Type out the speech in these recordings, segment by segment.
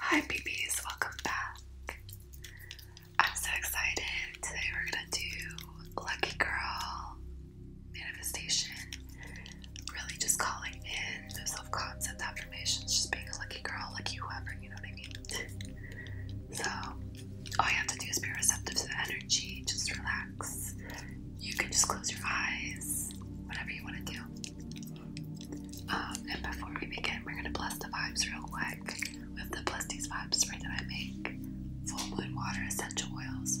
Hi, BBs, welcome back. I'm so excited. Today we're gonna do Lucky Girl manifestation. Really, just calling in those self concept affirmations, just being a lucky girl, lucky whoever, you know what I mean? so, all you have to do is be receptive to the energy, just relax. You can just close your eyes, whatever you want to do. Um, and before we begin, we're gonna bless the vibes real quick with the Bless Vibes spray that I make. Full moon water, essential oils,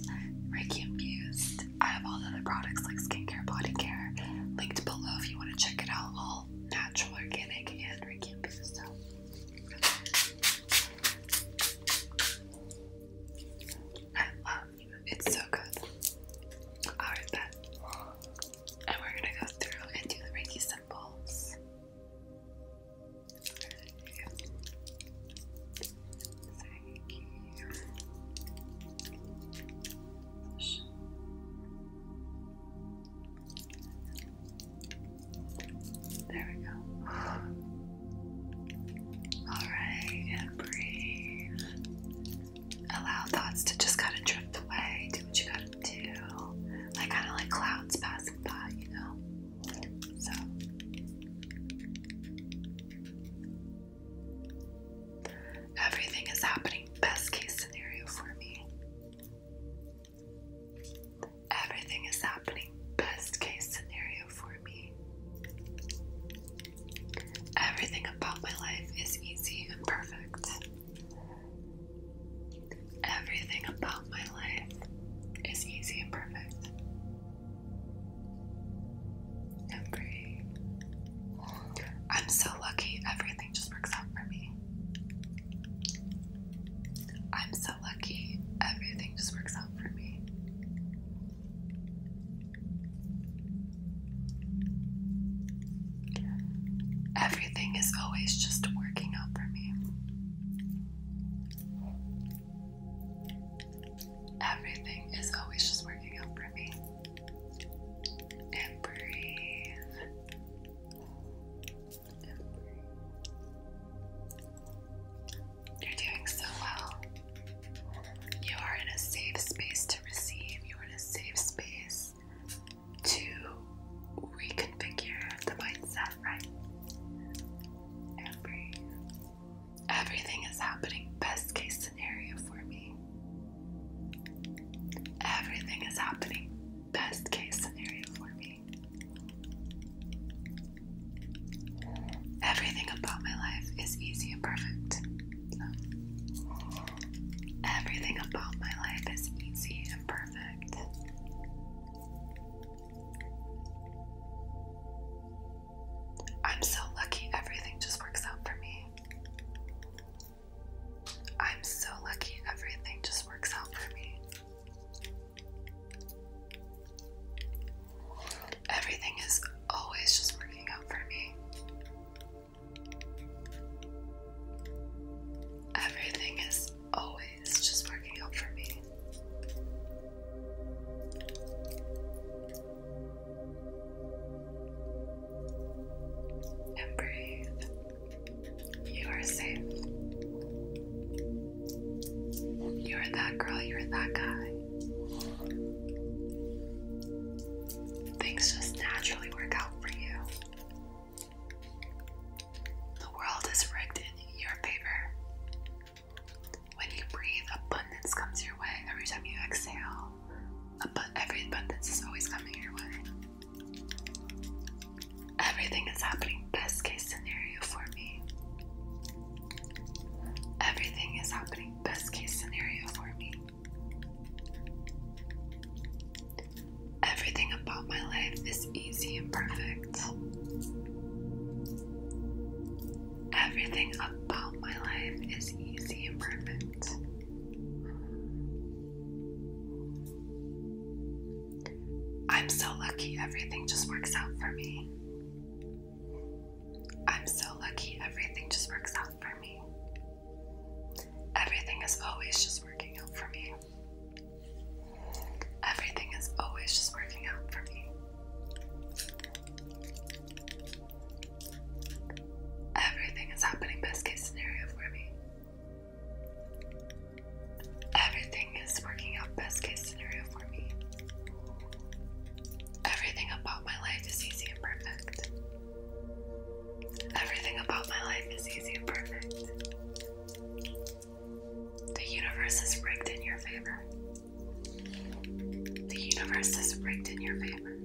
Reiki infused. I have all the other products like skincare, body care, linked below if you want to check it out. All natural, organic, and Reiki infused. So. I love it's so good. Alright, then. And we're gonna go through and do the Reiki symbols. There we go. All right, and breathe allow thoughts to just kind of drift away, do what you gotta do, like kind of like clouds passing by, you know. So, everything is happening, best case scenario for me. Everything is happening, best case scenario for me. Everything about my life is easy and perfect. Everything about my life is easy and perfect. I'm so lucky, everything just works out for me. I'm so lucky, everything just works out for me. Everything is always just working out for me. Everything is always just working out for me. And breathe. You're doing so well. You are in a safe space to receive, you are in a safe space to reconfigure the mindset, right? Everything is happening, best case scenario for me. Everything is happening, best case scenario for me. Everything about my life is easy and perfect. Everything about my life is easy and perfect. I'm so lucky everything just works out for me. I'm so lucky everything just works out for me. Everything is always just working out for me. Everything is always just working out for me. And breathe. You are safe. You are that girl, you are that guy things just naturally work out for you. The world is rigged in your favor. When you breathe, abundance comes your way. Every time you exhale, every abundance is always coming your way. Everything is happening best case scenario for me. Everything is happening best case scenario for me. Everything about my life is easy and perfect. Everything about my life is easy and perfect. I'm so lucky everything just works out for me. I'm so lucky everything just works out for me. Everything is always just working out for me. Everything is always just working out for me. Everything is happening best case scenario for me. Everything is working out best case scenario for me. Everything about my life is easy and perfect. Everything about my life is easy and perfect. The universe is rigged in your favor. The universe is rigged in your favor.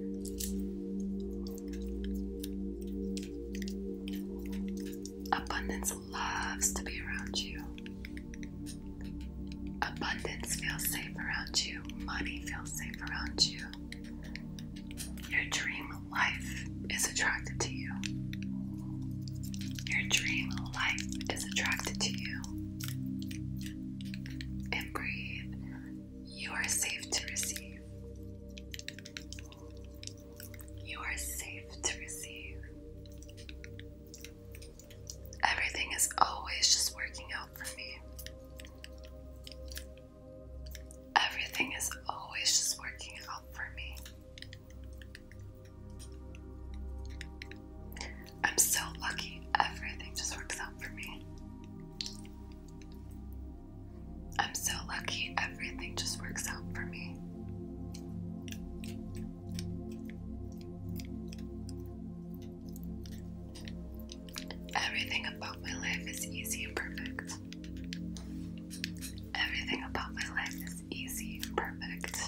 Abundance loves to be around you. Abundance feels safe around you. Money feels safe around you. Your dream life is attracted to you. Your dream life is attracted to you. And breathe. You are safe to receive. You are safe to receive. Everything is always just working out for me. Everything is always just working out for me. I'm so lucky. Everything just works out for me. I'm so lucky. Everything just works out for me. Everything about my life is easy and perfect. Everything about my life is easy and perfect.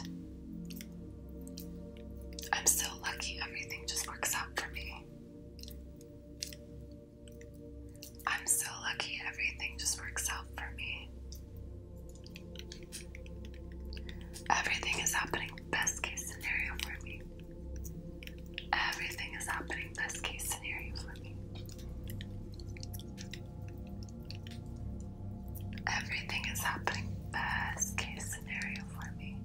I'm so lucky everything just works out for me. I'm so lucky everything just works out for me. Everything is happening best case scenario for me. Everything is happening best case scenario for me. Everything is happening best case scenario for me.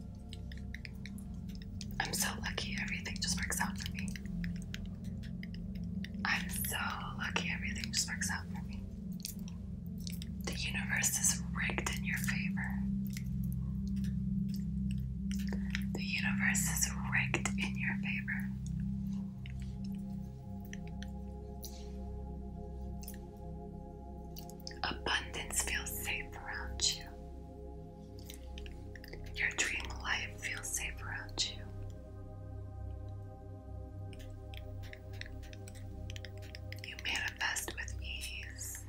I'm so lucky everything just works out for me. I'm so lucky everything just works out for me. The universe is rigged in your favor. The universe is rigged in your favor. Abundance feels safe around you. Your dream life feels safe around you. You manifest with ease.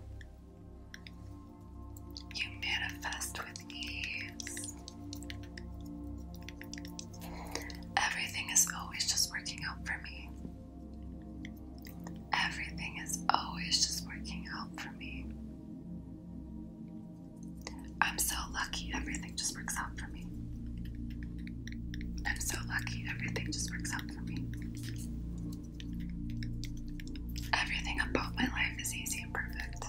You manifest with ease. Everything is always just working out for me. Everything is always just working out for me. I'm so lucky everything just works out for me. I'm so lucky everything just works out for me. Everything about my life is easy and perfect.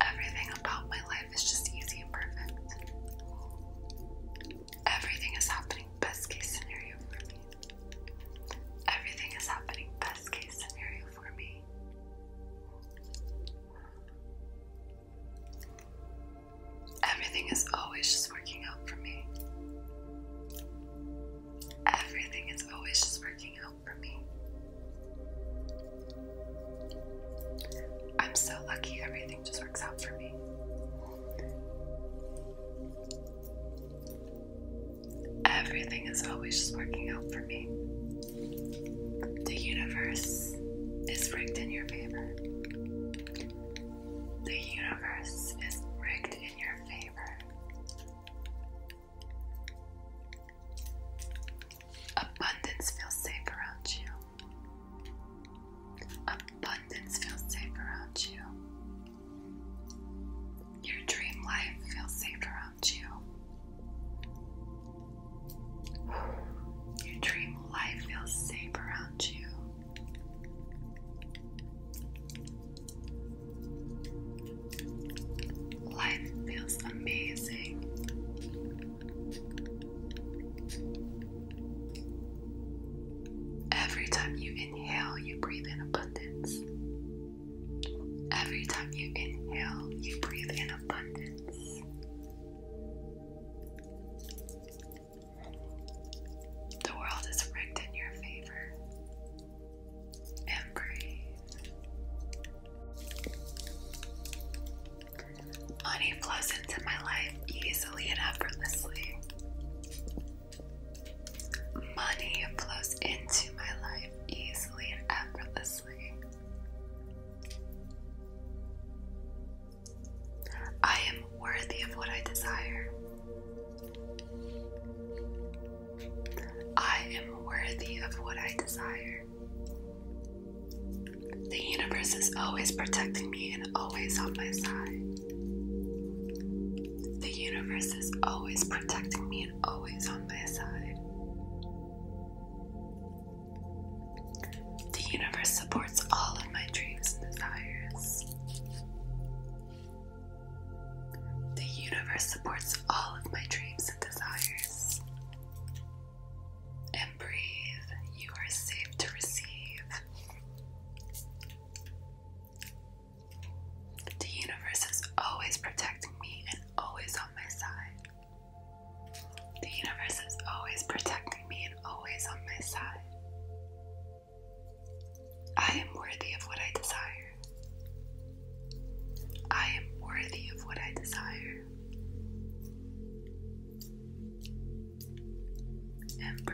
Everything about my life is just easy and perfect. Everything is happening best case scenario for me. Everything is happening best case scenario for me. Everything is always just working out for me. Everything is always just working out for me. I'm so lucky everything just works out for me. Everything is always just working out for me. The universe is rigged in your favor. The universe is rigged in your favor. Abundance feels safe around you. Abundance feels safe around you. Your dream life feels safe around you. Your dream life feels safe around Life feels amazing. Every time you inhale, you breathe in abundance. Every time you inhale, you breathe in abundance. The world is rigged in your favor. And Money flows into my life easily and effortlessly. Money flows into my life easily and effortlessly. I am worthy of what I desire. I am worthy of what I desire. The universe is always protecting me and always on my side. The universe is always protecting me and always on my side. The universe supports all of my dreams and desires. The universe supports all of my dreams and desires. And breathe, you are safe to receive. The universe is always protecting me and always on my side. The universe is always protecting me and always on my side. I am worthy of what I desire. I am worthy of what I desire. And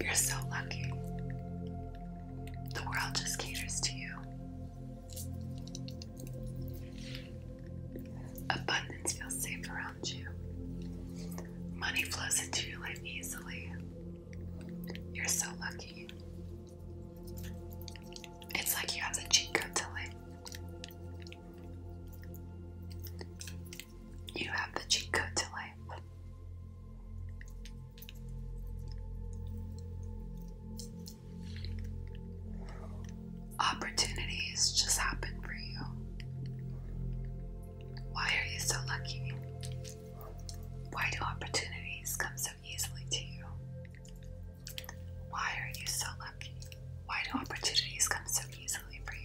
You're so lucky. The world just caters to you. Abundance feels safe around you. Money flows into your life easily. You're so lucky. It's like you have the cheat code to life. You have the cheat code to life. Opportunities just happen for you. Why are you so lucky? Why do opportunities come so easily to you? Why are you so lucky? Why do opportunities come so easily for you?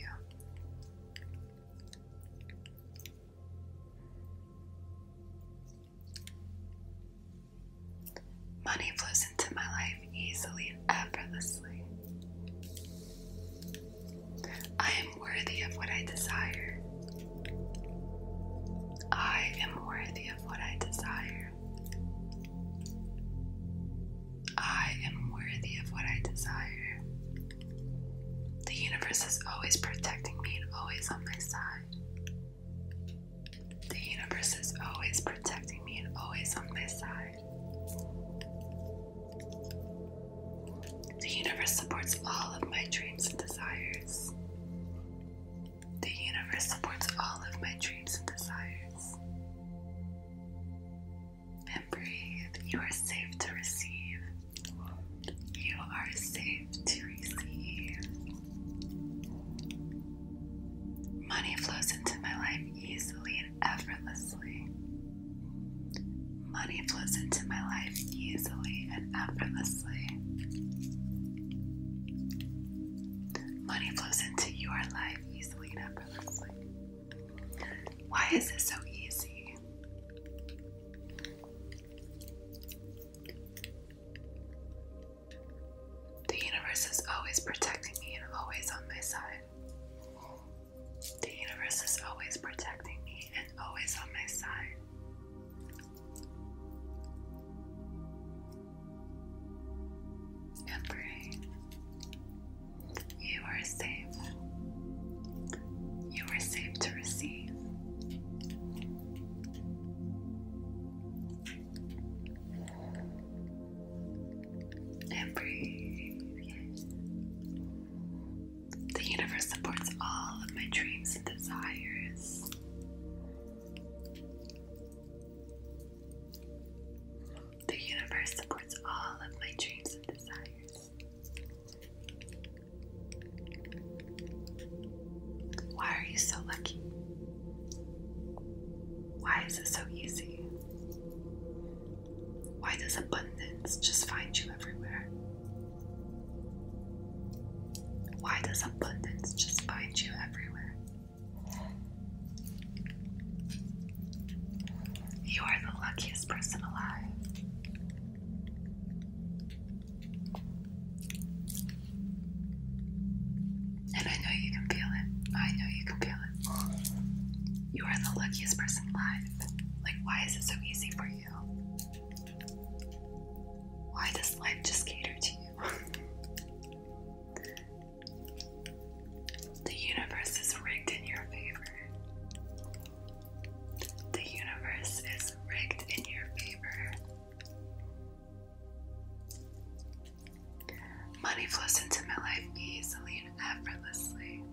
Money flows into my life easily and effortlessly. I am worthy of what I desire. I am worthy of what I desire. I am worthy of what I desire. The universe is always protecting me and always on my side. The universe is always protecting me and always on my side. The universe supports all of my dreams and desires. The universe supports all of my dreams and desires. And breathe. You are safe to receive. You are safe to receive. Money flows into my life easily and effortlessly. Money flows into my life easily and effortlessly. Money flows into your life easily and effortlessly. Why is this so easy? The universe is always protecting me and always on my side. The universe is always protecting me and always on my side. And You are safe. You are safe to receive and breathe. The universe supports all of my dreams and desires. The universe supports all of my dreams and desires. Why are you so lucky? Why is it so easy? Why does abundance just find you everywhere? Why does abundance just find you everywhere? You are the luckiest person alive. And I know you can feel it. I know you can feel it. You are the luckiest person alive. Like, why is it so easy for you? Why does life just cater to you? the universe is rigged in your favor. The universe is rigged in your favor. Money flows into my life easily and effortlessly.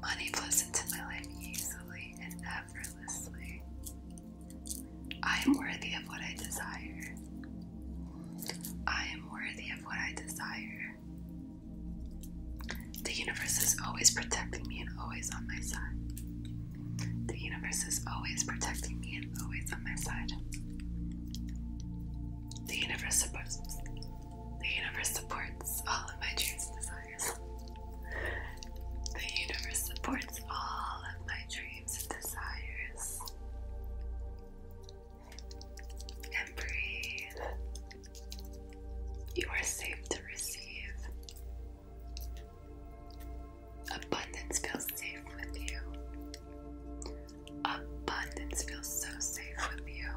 Money flows into my life easily and effortlessly. I am worthy of what I desire. I am worthy of what I desire. The universe is always protecting me and always on my side. The universe is always protecting me and always on my side. The universe supports the universe supports all of my dreams and desires. The universe supports all of my dreams and desires. And breathe. You are safe to receive. Abundance feels safe with you. Abundance feels so safe with you.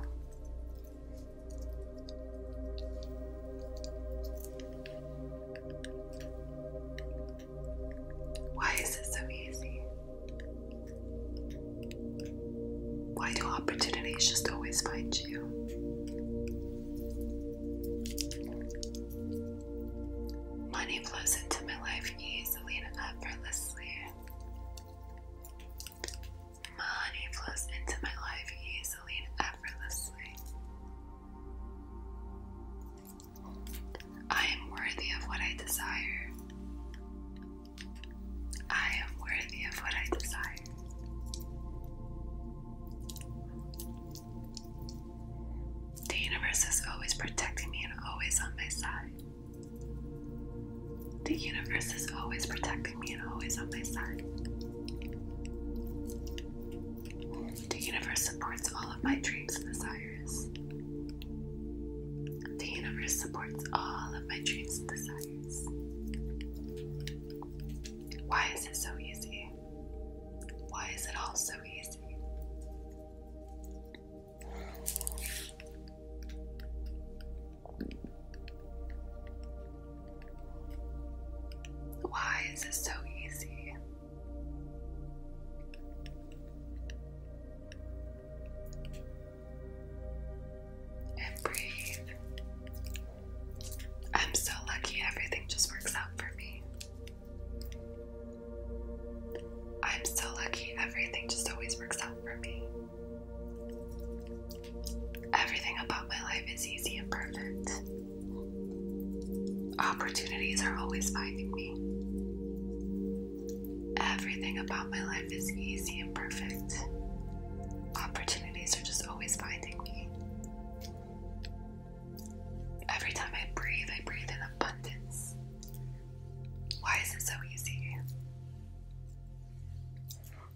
Why is it so easy? Why do opportunities just always find you? Money flows into my life easily and effortlessly. Money flows into my life easily and effortlessly. I am worthy of what I desire. I am worthy of what I desire. The universe is always protecting me and always on my side. The universe is always protecting me and always on my side. The universe supports all of my dreams and desires. The universe supports all of my dreams and desires. Why is it so easy? Why is it all so easy? Why is it so easy? And breathe. I'm so lucky everything just works out for me. I'm so lucky, everything just always works out for me. Everything about my life is easy and perfect. Opportunities are always finding me. Everything about my life is easy and perfect. Opportunities are just always finding me. Every time I breathe, I breathe in abundance. Why is it so easy?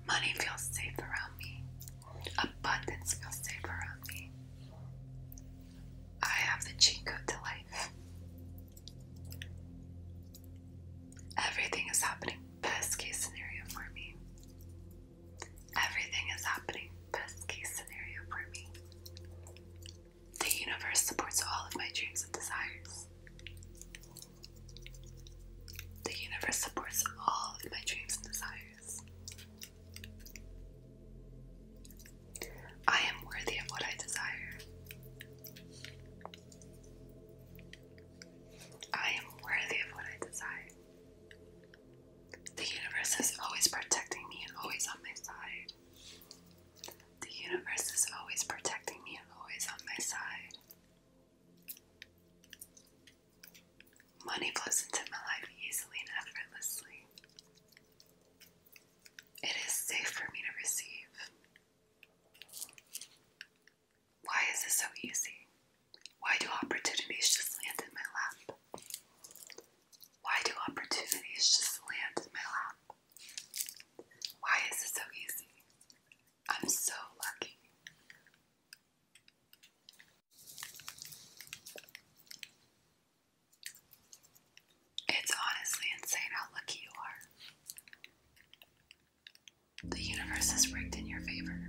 Money feels safe around me. Abundance feels safe around me. I have the cheat code to life. Everything is happening best case scenario for me. Everything is happening best case scenario for me. The universe supports all of my dreams and desires. The universe supports all of my dreams and desires. I am worthy of what I desire. I am worthy of what I desire. The universe is always protecting me and always on my side. The universe is always protecting me and always on my side. Money flows into my life easily and effortlessly. It is safe for me to receive. Why is this so easy? Why do opportunities just land in my lap? Why do opportunities just land in my lap? Why is it so easy? I'm so lucky. It's honestly insane how lucky you are. The universe is rigged in your favor.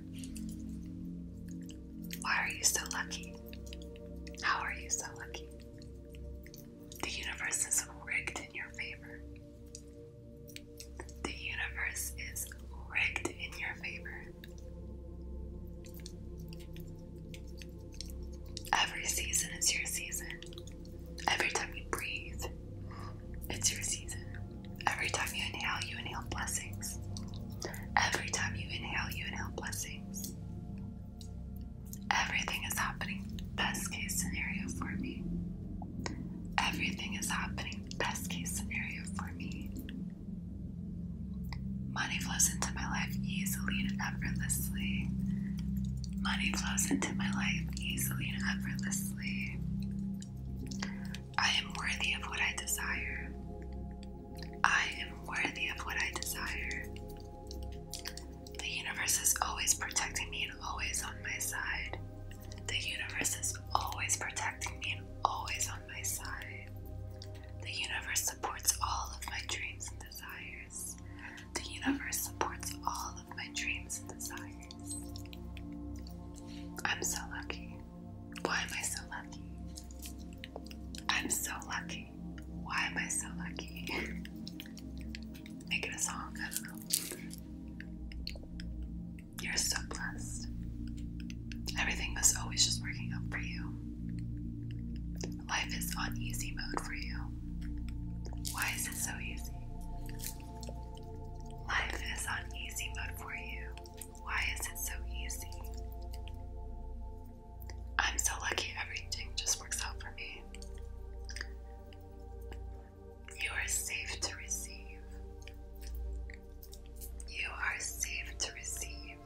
Why are you so lucky? How are you so lucky? The universe is rigged in your favor. The universe is rigged in your favor. Every season is your season. Every time you breathe, it's your season. Every time you inhale, you inhale blessings. Every time you inhale, you inhale blessings. Everything is happening best case scenario for me. Everything is happening best case scenario for me. Money flows into my life easily and effortlessly. Money flows into my life easily and effortlessly. I am worthy of what I desire. I am worthy of what I desire. The universe is always protecting me and always on my side. The universe is always protecting me and always on my side. The universe supports all of my dreams and desires. The universe supports all of my dreams and desires. I'm so lucky. Why am I so lucky? I'm so lucky. Why am I so lucky? Make a song, I don't know. You're so blessed. Everything is always just working out for you. Life is on easy mode for you. Why is it so easy? Life is on easy mode for you. Why is it so easy? I'm so lucky everything just works out for me. You are safe to receive. You are safe to receive.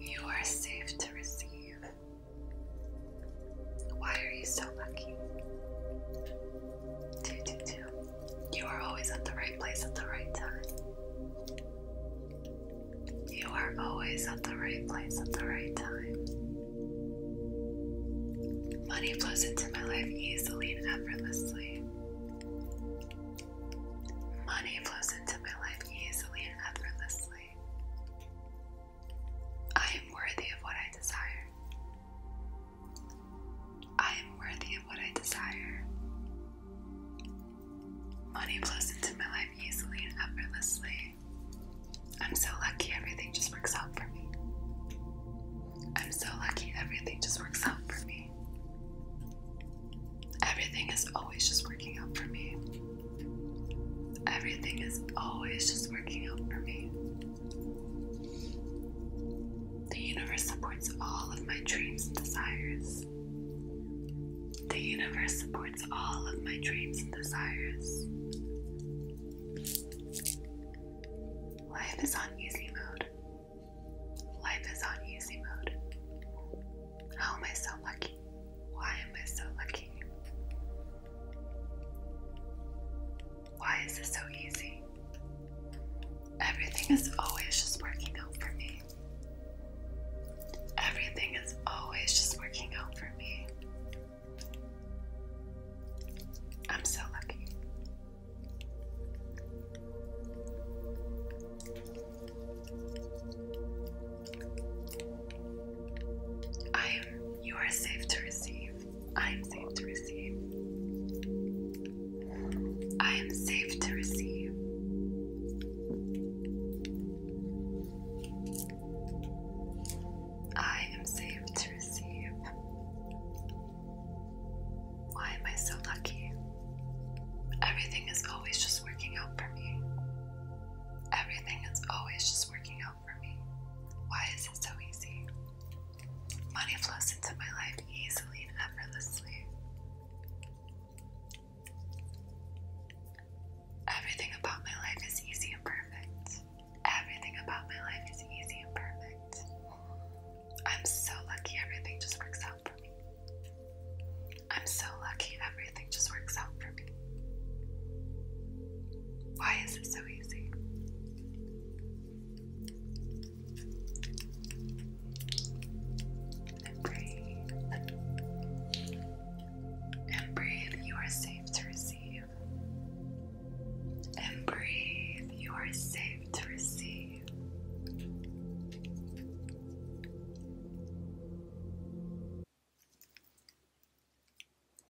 You are safe to receive. Why are you so lucky? You are always at the right place at the right time. You are always at the right place at the right time. Money flows into my life easily and effortlessly. Money flows into my life easily and effortlessly. I am worthy of what I desire. I am worthy of what I desire. Money flows into my life easily and effortlessly. I'm so lucky everything just works out for me. I'm so lucky everything just works out for me. Everything is always just working out for me. Everything is always just working out for me. The universe supports all of my dreams and desires. The universe supports all of my dreams and desires. Life is on easy mode. Life is on easy mode. How am I so lucky? Why am I so lucky? Why is this so easy? Everything is always just working out for me. Everything is always just working out for me. I'm so lucky. I am, you are safe to receive. I am safe to receive. I am safe to receive. I am safe to receive. Why am I so lucky? Everything is always just working out for me. Everything is always just working out why is it so easy? Money flows into my life easily and effortlessly. Everything about my life is easy and perfect. Everything about my life is easy and perfect. I'm so lucky everything just works out for me. I'm so lucky everything just works out for me. Why is it so easy? And breathe. And breathe, you are safe to receive. And breathe, you are safe to receive.